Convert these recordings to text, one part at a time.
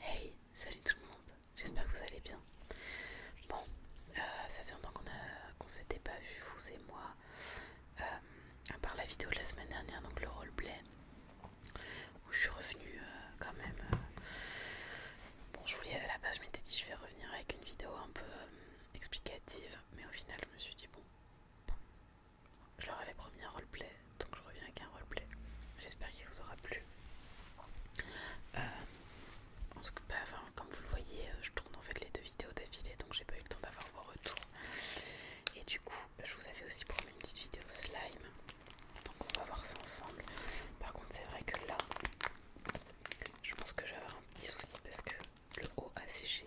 Hey, salut tout le monde, j'espère que vous allez bien. Bon, euh, ça fait longtemps qu'on ne s'était pas vu, vous et moi, euh, à part la vidéo de la semaine dernière, donc le roleplay, où je suis revenue euh, quand même. bon, je voulais à la base, je m'étais dit, je vais revenir avec une vidéo un peu explicative, mais au final, je me suis dit, bon, je leur avais promis un roleplay, donc je reviens avec un roleplay. J'espère qu'il vous aura plu. Euh, bah, en comme vous le voyez, euh, je tourne en fait les deux vidéos d'affilée, donc j'ai pas eu le temps d'avoir vos retours. Et du coup, je vous avais aussi promis une petite vidéo slime. Donc on va voir ça ensemble. Par contre, c'est vrai que là, je pense que je vais avoir un petit souci parce que le haut a séché.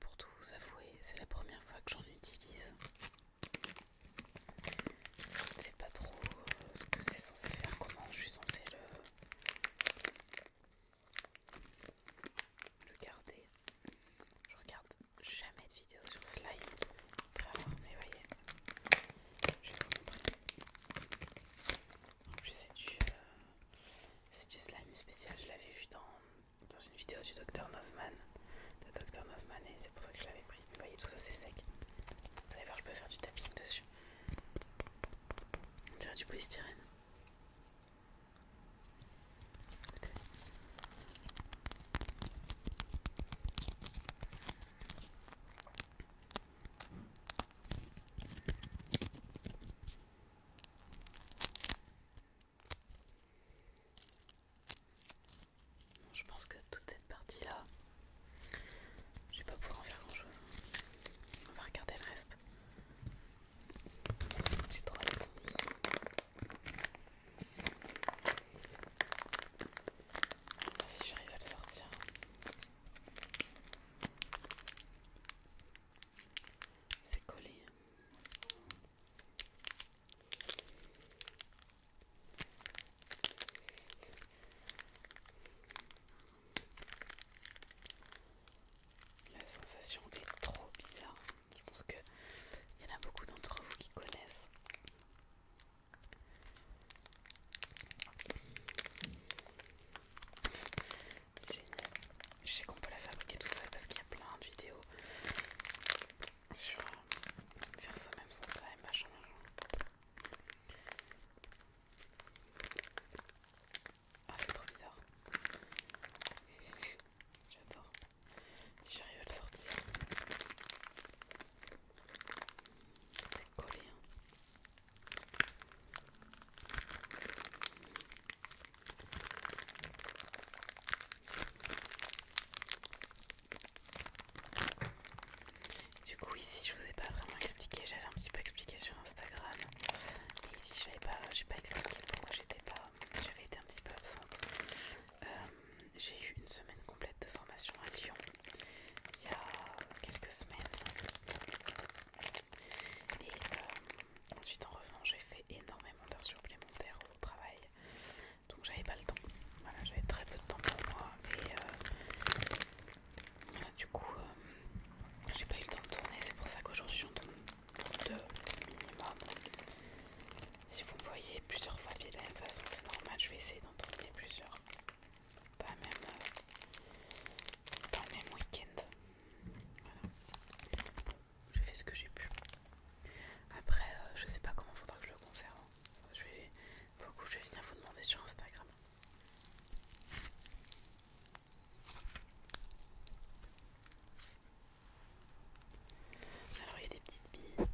pour tout vous avouer, c'est la première fois que j'en utilise. Je sais pas trop ce que c'est censé faire, comment je suis censée le, garder. Je regarde jamais de vidéos sur slime, très rare, mais vous voyez, je vais vous montrer. En plus, c'est du, euh, slime spécial. Je l'avais vu dans, une vidéo du Dr Nozman. De Dr Nozman, et c'est pour ça que je l'avais pris. Vous voyez, tout ça, c'est sec. Vous allez voir, je peux faire du tapping dessus. On dirait du polystyrène je pense que toute cette partie là, je vais pas pouvoir en faire grand chose. On va regarder le reste. J'ai trop hâte. Si j'arrive à le sortir. C'est collé. La sensation est trop bizarre. Je pense qu'il y en a beaucoup d'entre vous qui connaissent. Génial. Je sais qu'on peut la fabriquer tout ça parce qu'il y a plein de vidéos sur faire soi-même son et machin, machin. Ah, c'est trop bizarre. J'adore. Si j'arrive à le sortir, c'est collé. Hein. Du coup ici je vous ai pas vraiment expliqué, j'avais un petit peu expliqué sur Instagram, mais ici j'avais pas, j'ai pas expliqué pourquoi j'étais pas, j'avais été un petit peu absente. Euh, j'ai eu une semaine complète de formation à Lyon il y a quelques semaines et euh, ensuite en revenant j'ai fait énormément d'heures supplémentaires au travail. Donc j'avais pas le temps. Voilà, j'avais très peu de temps pour moi. Et euh, du coup euh, j'ai pas eu le temps de tourner. C'est pour ça qu'aujourd'hui j'en tourne deux minimum. Si vous me voyez plusieurs fois bien de la même façon, c'est normal, je vais essayer d'en tourner plusieurs. Pas même dans le même week-end. Je fais ce que j'ai pu. Après, euh, je sais pas comment faudra que je le conserve. Hein. Je vais, beaucoup, je vais venir vous demander sur Instagram. Alors il y a des petites billes.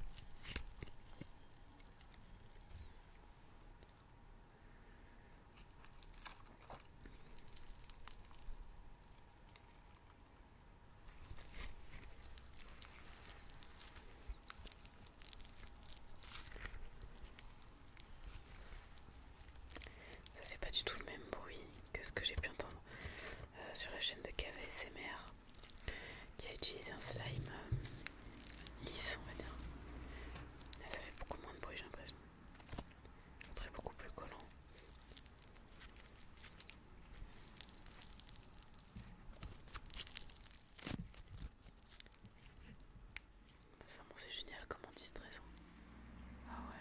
Ça fait pas du tout le même bruit que ce que j'ai pu entendre euh, sur la chaîne de KVSMR qui a utilisé un slime euh, lisse, on va dire. ça fait beaucoup moins de bruit, j'ai l'impression. c'est beaucoup plus collant. Ça, c'est génial comme anti-stress. Hein. Ah ouais.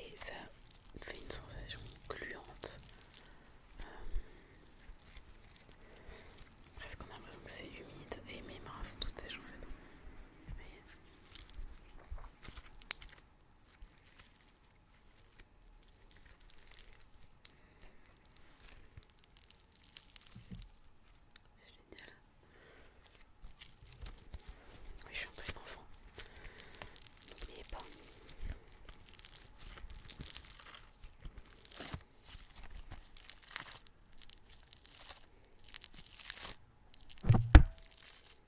Et ça fait une sensation gluante. Euh, presque on a l'impression que c'est humide et mes mains sont toutes sèches en c'est génial. Oui, je suis un peu une enfant. N'oubliez pas.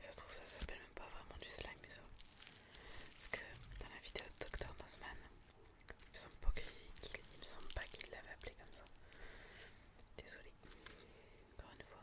Ça se trouve, ça s'appelle même pas vraiment du slime, mais ça. Parce que dans la vidéo de Dr. Nozman, il me semble pas qu'il l'avait appelé comme ça. désolé encore une fois.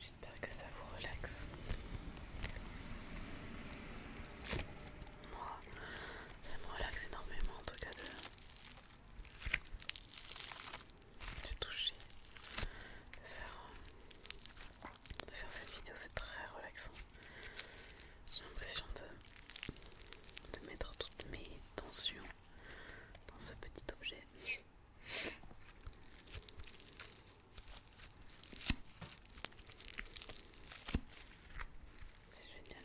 J'espère que ça vous relaxe. Moi, ça me relaxe énormément en tout cas de, de toucher, euh, de faire cette vidéo, c'est très relaxant. J'ai l'impression de, mettre toutes mes tensions dans ce petit objet. C'est génial.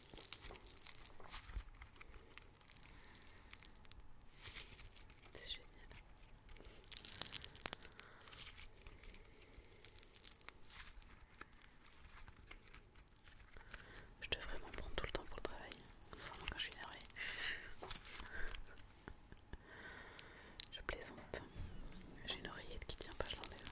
C'est génial. Je devrais m'en prendre tout le temps pour le travail, simplement quand je suis énervée. je plaisante. J'ai une oreillette qui tient pas, je l'enlève.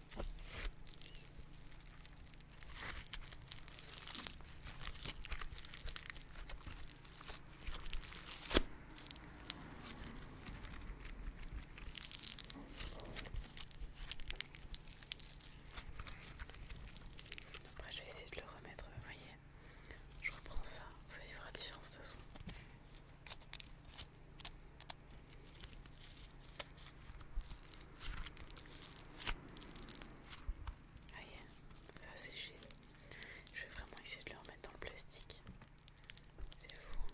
Après je vais essayer de le remettre, vous voyez. Je reprends ça, vous allez voir la différence de son. Ouais, ah, ça a séché. Je vais vraiment essayer de le remettre dans le plastique. C'est fou. Hein.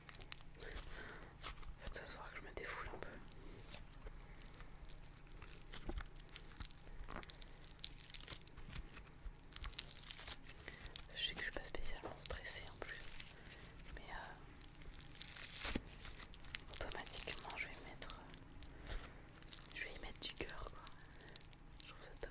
Ça doit se voir que je me défoule un peu. Je sais que je suis pas spécialement stressée en plus, mais euh, automatiquement je vais mettre, je vais y mettre du cœur quoi. Je trouve ça top.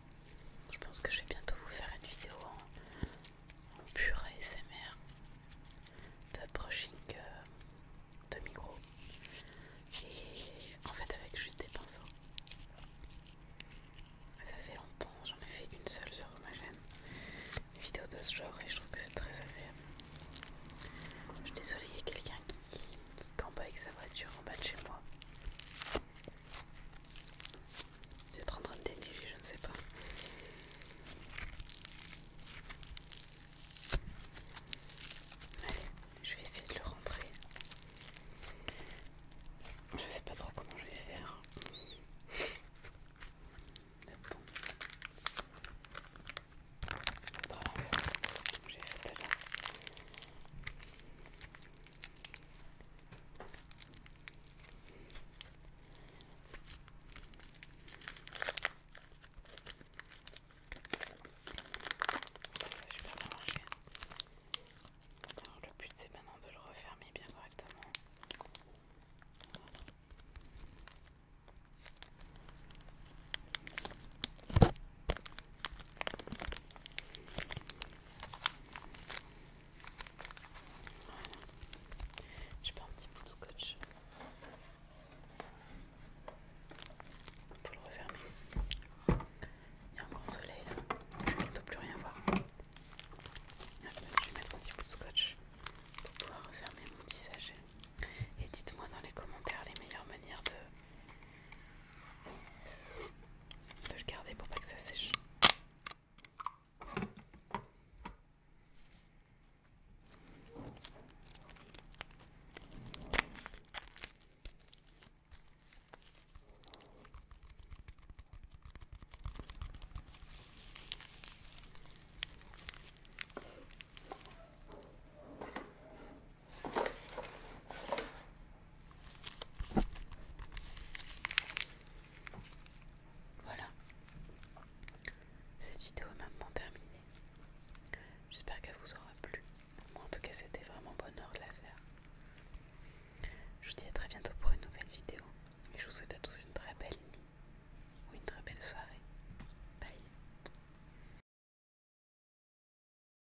Je pense que je vais bientôt vous faire une vidéo en, pur ASMR de euh, de micro et en fait avec juste des pinceaux. Ça fait longtemps, j'en ai fait une seule sur ma chaîne, une vidéo de ce genre et je trouve que c'est très agréable. Je suis désolée, il y a quelqu'un qui, qui campe avec sa voiture en bas de chez moi. Peut-être en train de déneiger, je ne sais pas. Allez, je vais essayer de le rentrer. Je ne sais pas trop comment je vais faire. j'ai fait alors le but c'est maintenant de le refermer bien correctement. Je pas un petit bout de scotch pour le refermer ici. Il y a un grand soleil là, je ne peux plus rien voir. je vais mettre un petit bout de scotch pour pouvoir refermer mon petit Et dites-moi dans les commentaires les meilleures manières de de le garder pour pas que ça sèche. Voilà. Cette vidéo est maintenant terminée. J'espère qu'elle vous aura plu. Moi en tout cas c'était vraiment bonheur de la faire. Je vous dis à très bientôt pour une nouvelle vidéo. Et je vous souhaite à tous une très belle nuit. Ou une très belle soirée. Bye.